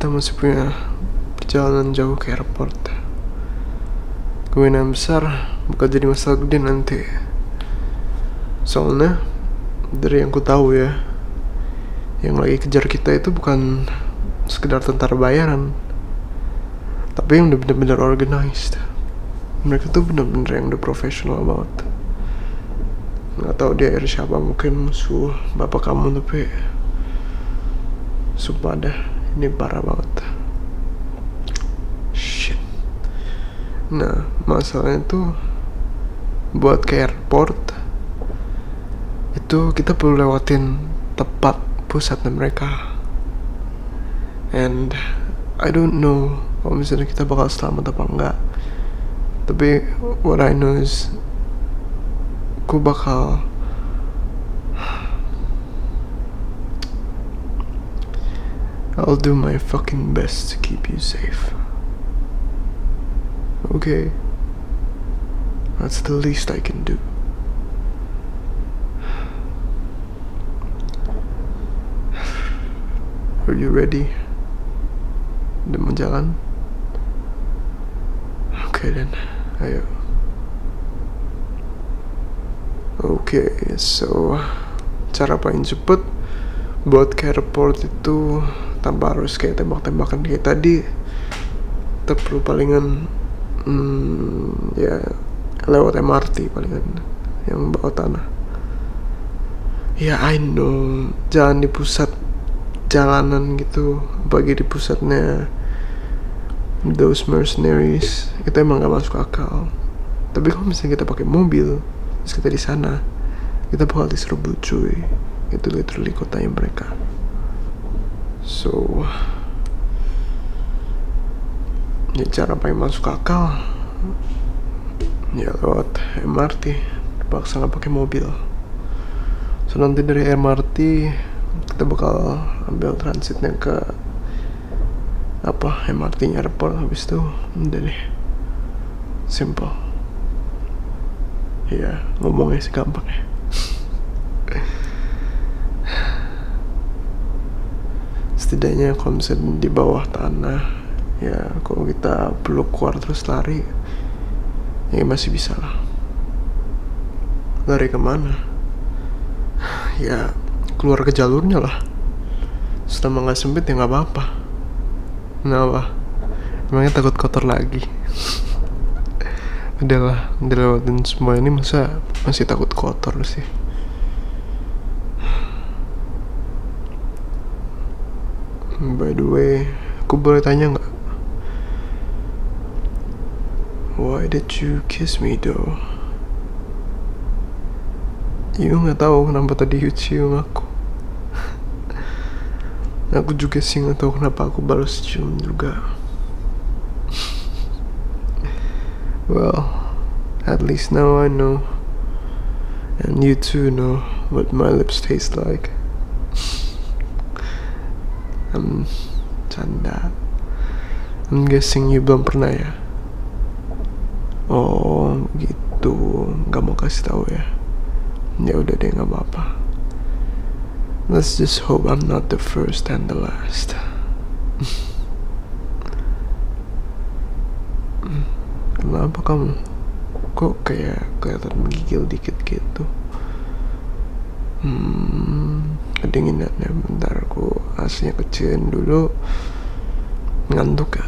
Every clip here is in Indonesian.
kita masih punya perjalanan jauh ke airport kemungkinan besar bukan jadi masalah gede nanti soalnya dari yang ku tahu ya yang lagi kejar kita itu bukan sekedar tentara bayaran tapi yang udah bener-bener organized mereka tuh bener-bener yang udah profesional banget nggak tahu dia air siapa mungkin musuh bapak kamu tapi sumpah dah ini parah banget shit nah masalahnya tuh buat ke airport itu kita perlu lewatin tepat pusatnya mereka and I don't know kalau misalnya kita bakal selamat apa enggak tapi what I know is gue I'll do my fucking best to keep you safe okay that's the least I can do Are you ready? Udah mau jalan? Oke okay, then, ayo. Oke, okay, so cara paling cepet buat airport itu tanpa harus kayak tembak-tembakan kayak tadi kita palingan hmm, ya lewat MRT palingan yang bawa tanah ya I know jalan di pusat jalanan gitu bagi di pusatnya those mercenaries itu emang gak masuk akal tapi kalau misalnya kita pakai mobil terus kita di sana kita bakal diserbu cuy itu literally yang mereka So ini cara paling masuk akal Ya lewat MRT Terpaksa nggak pakai mobil So nanti dari MRT Kita bakal ambil transitnya ke apa MRT nya airport habis itu udah deh simple ya ngomongnya sih gampang ya setidaknya kalau misalnya di bawah tanah ya kalau kita peluk keluar terus lari ya masih bisa lah lari kemana ya keluar ke jalurnya lah setelah nggak sempit ya nggak apa-apa kenapa emangnya takut kotor lagi adalah udah lewatin semua ini masa masih takut kotor kotor sih by the way aku boleh tanya nggak why did you kiss me though you nggak tahu kenapa tadi you cium aku aku juga sih nggak tahu kenapa aku balas cium juga Well, at least now I know. And you too know what my lips taste like. I'm canda. I'm guessing you belum pernah ya? Oh, gitu. Gak mau kasih tahu ya? Ya udah deh, gak apa Let's just hope I'm not the first and the last. Kenapa kamu? Kok kayak kelihatan menggigil dikit gitu? Hmm, kedinginannya bentar aku aslinya kecilin dulu. Ngantuk ya?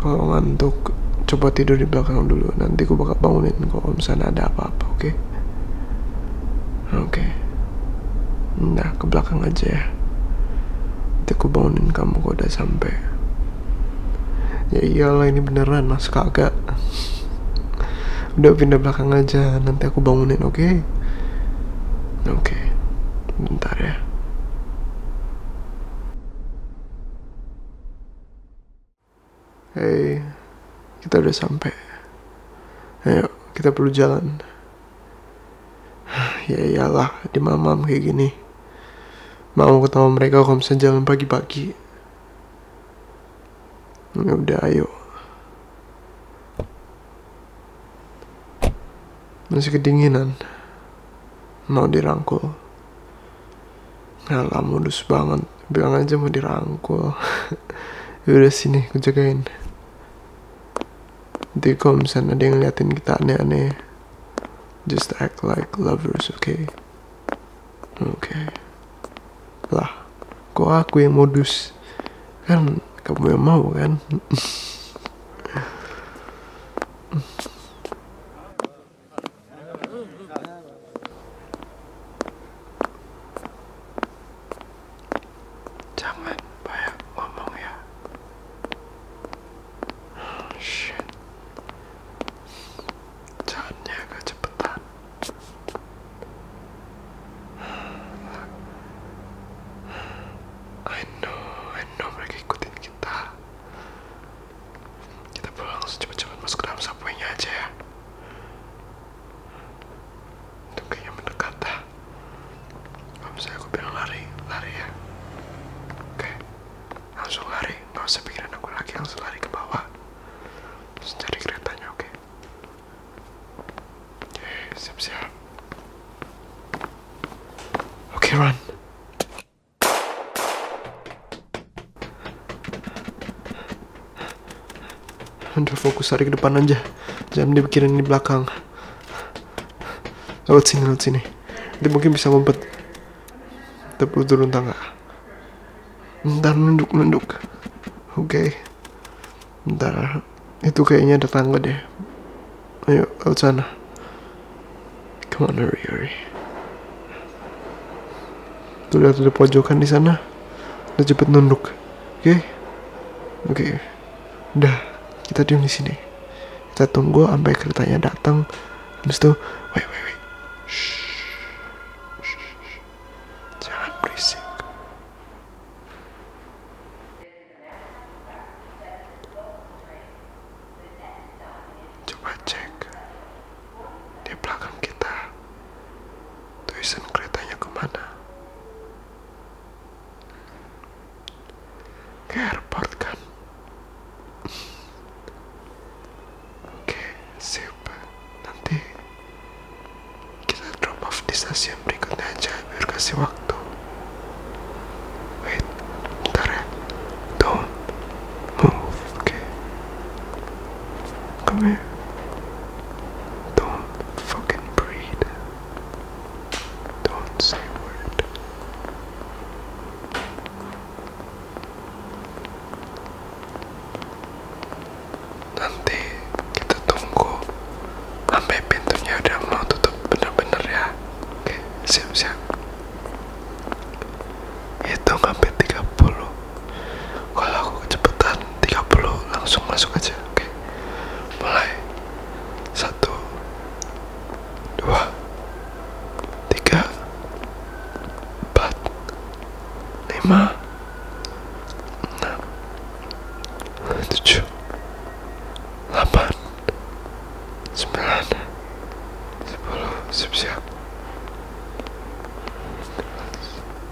Kalau ngantuk, coba tidur di belakang dulu. Nanti aku bakal bangunin kalau misalnya ada apa-apa, oke? okay? Oke. Okay. Nah, ke belakang aja ya. Nanti aku bangunin kamu kok udah sampai. Ya iyalah ini beneran mas kagak. udah pindah belakang aja, nanti aku bangunin, oke? Okay? Oke. Okay. Bentar ya. Hey kita udah sampai ayo kita perlu jalan ya iyalah di malam-malam kayak gini mau ketemu mereka kalau misalnya jalan pagi-pagi ya udah ayo masih kedinginan mau dirangkul Alah modus banget bilang aja mau dirangkul udah sini gue jagain nanti kalau misalnya ngeliatin kita aneh-aneh just act like lovers okay okay lah kok aku yang modus kan kamu yang mau kan Jangan pakai ngomong ya. Oh, shit. Jalannya agak cepetan. I know, I know mereka ikutin kita. Kita pulang langsung cepet-cepet masuk aja ya itu kayaknya mendekat dah kalau misalnya aku bilang lari lari ya oke langsung lari nggak usah pikirin aku lagi langsung lari ke bawah terus cari keretanya oke oke siap-siap oke run anda fokus tarik ke depan aja. Jangan dipikirin di belakang. Lewat sini, lewat sini. Nanti mungkin bisa ngumpet. perlu turun tangga. Ntar nunduk, nunduk. Oke. Okay. Ntar. Itu kayaknya ada tangga deh. Ayo, lewat sana. Come on, hurry, hurry. Tuh lihat ada pojokan di sana. Udah cepet nunduk oke okay? oke okay. udah kita diam di sini kita tunggu sampai keretanya datang habis itu wait wait wait kita. Tulisan keretanya kemana? Ke airport kan? Oke, siapa Nanti kita drop off di stasiun berikutnya aja biar kasih waktu. Wait, bentar ya. Don't move, oke? Okay. Come here. Don't Fucking breathe. Don't say word. Nanti kita tunggu sampai pintunya udah mau tutup benar-benar ya. Oke, siap-siap. Hitung sampai puluh kalau aku kecepatan 30 langsung masuk aja oke mulai satu dua tiga empat lima enam tujuh delapan sembilan sepuluh siap siap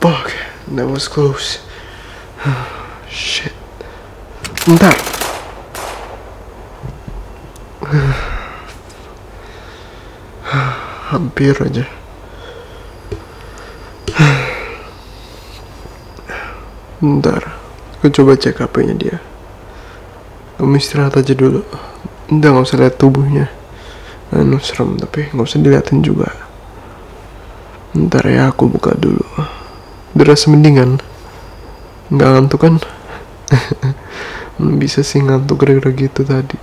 Fuck, that was close. Shit. Bentar. Hampir aja. Ntar, aku coba cek HP-nya dia kamu istirahat aja dulu udah nggak usah lihat tubuhnya anu serem tapi nggak usah diliatin juga ntar ya aku buka dulu deras mendingan nggak ngantuk kan bisa sih ngantuk gara-gara gitu tadi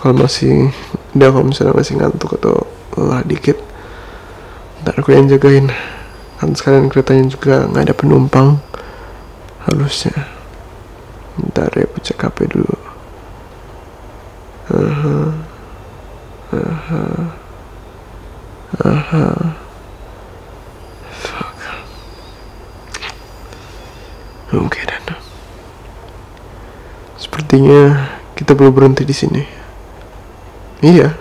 kalau masih udah kalau misalnya masih ngantuk atau lelah dikit ntar aku yang jagain kan sekalian keretanya juga nggak ada penumpang harusnya Bentar ya, aku cek HP dulu. Aha. Aha. Aha. Fuck. Oke okay, dan. Sepertinya kita belum berhenti di sini. Iya.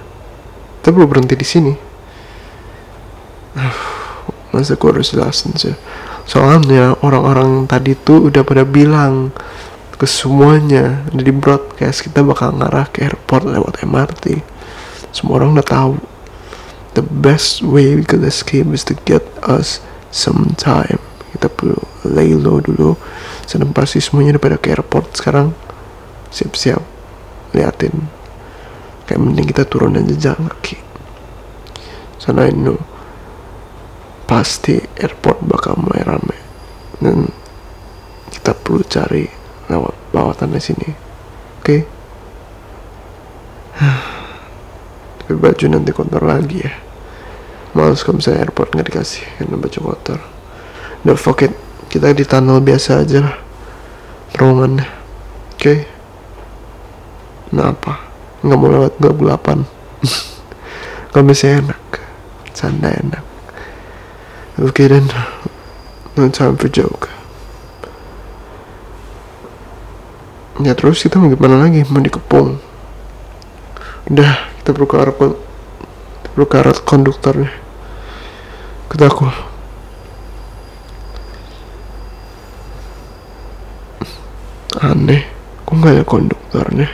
Kita belum berhenti di sini masa gue harus jelasin sih soalnya orang-orang tadi tuh udah pada bilang ke semuanya di broadcast kita bakal ngarah ke airport lewat MRT semua orang udah tahu the best way we can escape is to get us some time kita perlu lay low dulu sedang pasti semuanya udah pada ke airport sekarang siap-siap liatin kayak mending kita turun aja jalan lagi Sana lu pasti airport bakal mulai rame dan kita perlu cari lewat bawah tanah sini oke okay? tapi baju nanti kotor lagi ya males kalau misalnya airport nggak dikasih karena baju kotor don't forget kita di tunnel biasa aja lah oke okay? Kenapa? Nggak mau lewat gelap gelapan. Kamisnya enak, canda enak. Okay then, no time for joke. Ya terus kita mau gimana lagi? Mau dikepung? Udah, kita perlu ke arah kita perlu ke konduktornya. Kata aneh kok nggak ada konduktornya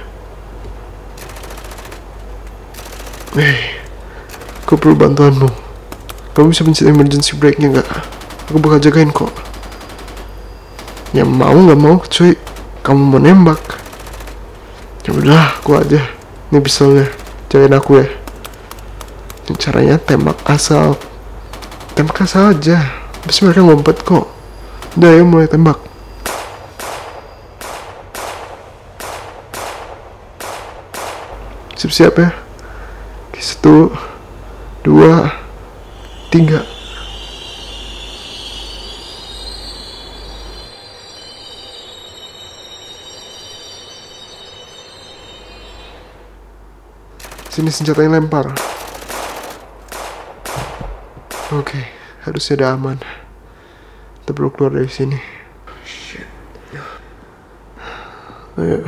Hei, eh, aku perlu bantuanmu. Kamu bisa mencet emergency brake-nya nggak? Aku bakal jagain kok. Ya mau nggak mau, cuy. Kamu mau nembak. Ya udah, aku aja. Ini pistolnya. Jagain aku ya caranya tembak asal tembak asal aja terus mereka ngumpet kok udah ayo mulai tembak siap-siap ya satu dua tiga Sini senjatanya lempar. Oke, okay, harusnya udah aman. Kita perlu keluar dari sini. Shit. Ayo.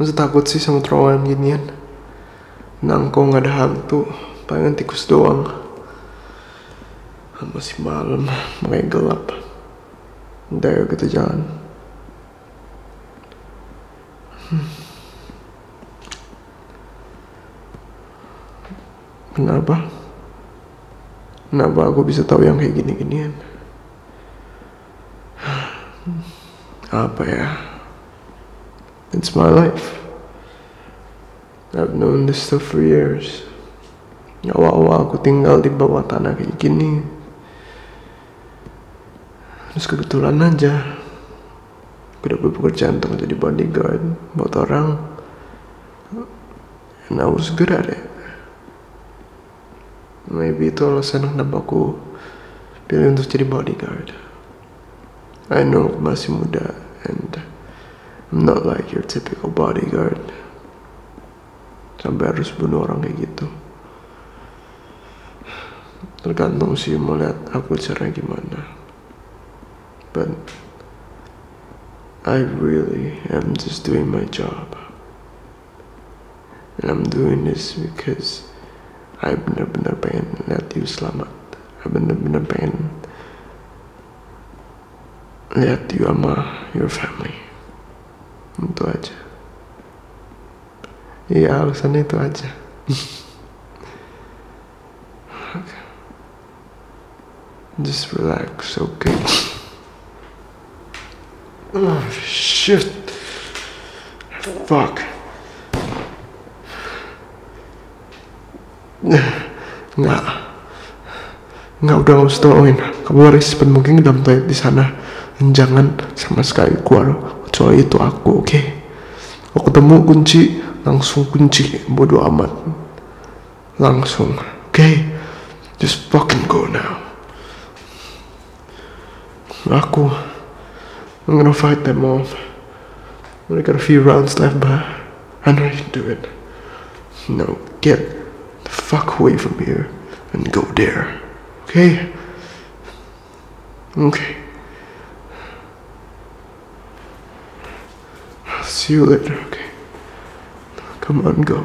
Masa takut sih sama terowongan ginian? Nangko nggak ada hantu, pengen tikus doang. Masih malam, makanya gelap. Udah kita jalan. Kenapa? Hmm. Kenapa aku bisa tahu yang kayak gini-ginian? Apa ya? It's my life. I've known this stuff for years. Awal-awal aku tinggal di bawah tanah kayak gini terus kebetulan aja gue dapet pekerjaan untuk jadi bodyguard buat orang and I was good at it maybe itu alasan kenapa aku pilih untuk jadi bodyguard I know masih muda and I'm not like your typical bodyguard sampai harus bunuh orang kayak gitu tergantung sih melihat aku cara gimana but I really am just doing my job and I'm doing this because I benar-benar pengen lihat you selamat I benar-benar pengen lihat you sama your family itu aja Iya alasannya itu aja. Just relax, okay? Oh shit! Fuck! Nggak, nggak udah nggak usah tolongin. Kamu harus mungkin dalam toilet di sana jangan sama sekali keluar kecuali itu aku oke okay? aku ketemu kunci langsung kunci bodoh amat langsung oke okay? just fucking go now aku I'm gonna fight them off we got a few rounds left but I know you can do it no get the fuck away from here and go there okay Okay. I'll see you later, okay? Come on, go.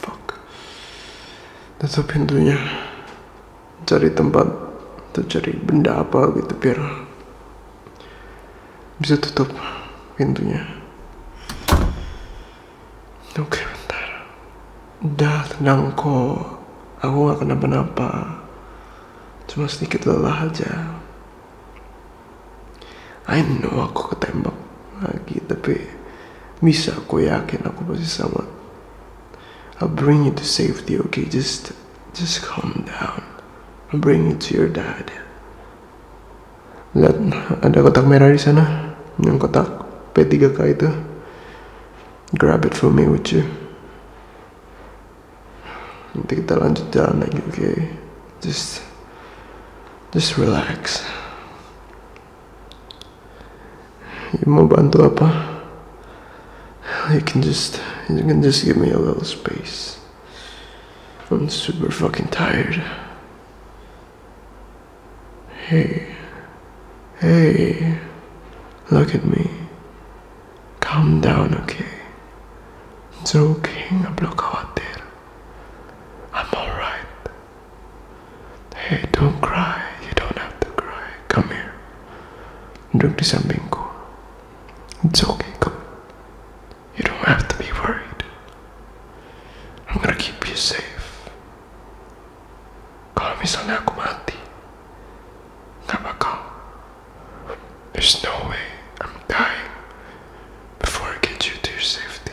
Fuck. Tutup pintunya. Cari tempat atau cari benda apa gitu biar bisa tutup pintunya. Oke, bentar. Udah tenang kok. Aku gak kenapa-napa. Cuma sedikit lelah aja. I know aku ketembak lagi tapi bisa aku yakin aku pasti selamat I'll bring you to safety okay just just calm down I'll bring you to your dad lihat ada kotak merah di sana yang kotak P3K itu grab it for me would you nanti kita lanjut jalan lagi oke okay? just Just relax. You mau bantu apa? You can just, you can just give me a little space. I'm super fucking tired. Hey, hey, look at me. Calm down, okay? It's okay, no block out there. I'm alright. Hey, don't cry. You don't have to cry. Come here. Drink this and bingo. It's okay, come. You don't have to be worried. I'm gonna keep you safe. Call me Sanakumanti. Kabaka. There's no way I'm dying before I get you to your safety,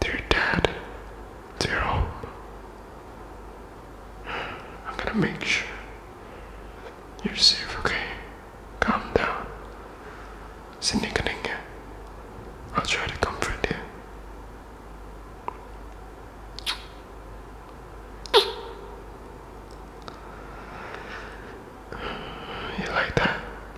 to your dad, to your home. I'm gonna make sure you're safe, okay? Calm down. Sinikaninga. I'll try to comfort you. You like that?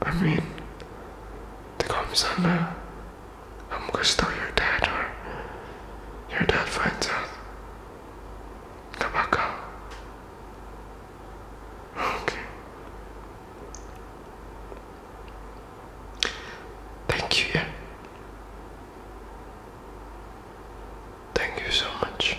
I mean, the call me Samba. I'm gonna steal your dad, or your dad finds out. Come back out. Okay. Thank you. Thank you so much.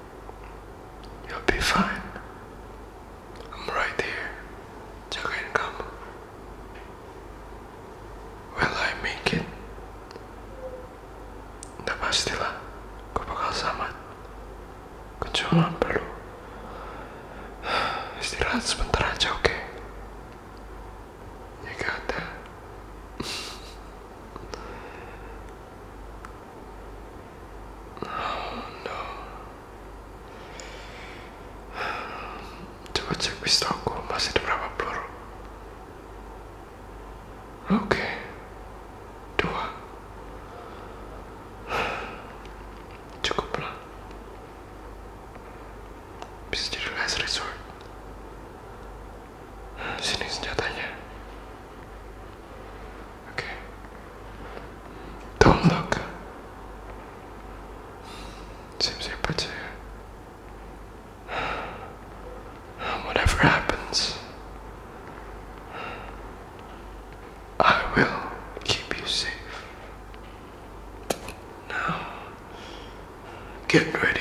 You'll be fine. I'm right here. Jagain kamu. Will I make it? Udah pastilah. Gue bakal selamat. Gue cuma perlu. Istirahat sebentar aja, oke? Okay? You got Coba cek pistolku masih ada berapa peluru? Oke. Okay. Dua. Cukuplah. Bisa jadi last resort. Sini senjatanya. Okay. Don't look. Seems simple too. Whatever happens, I will keep you safe. Now, get ready.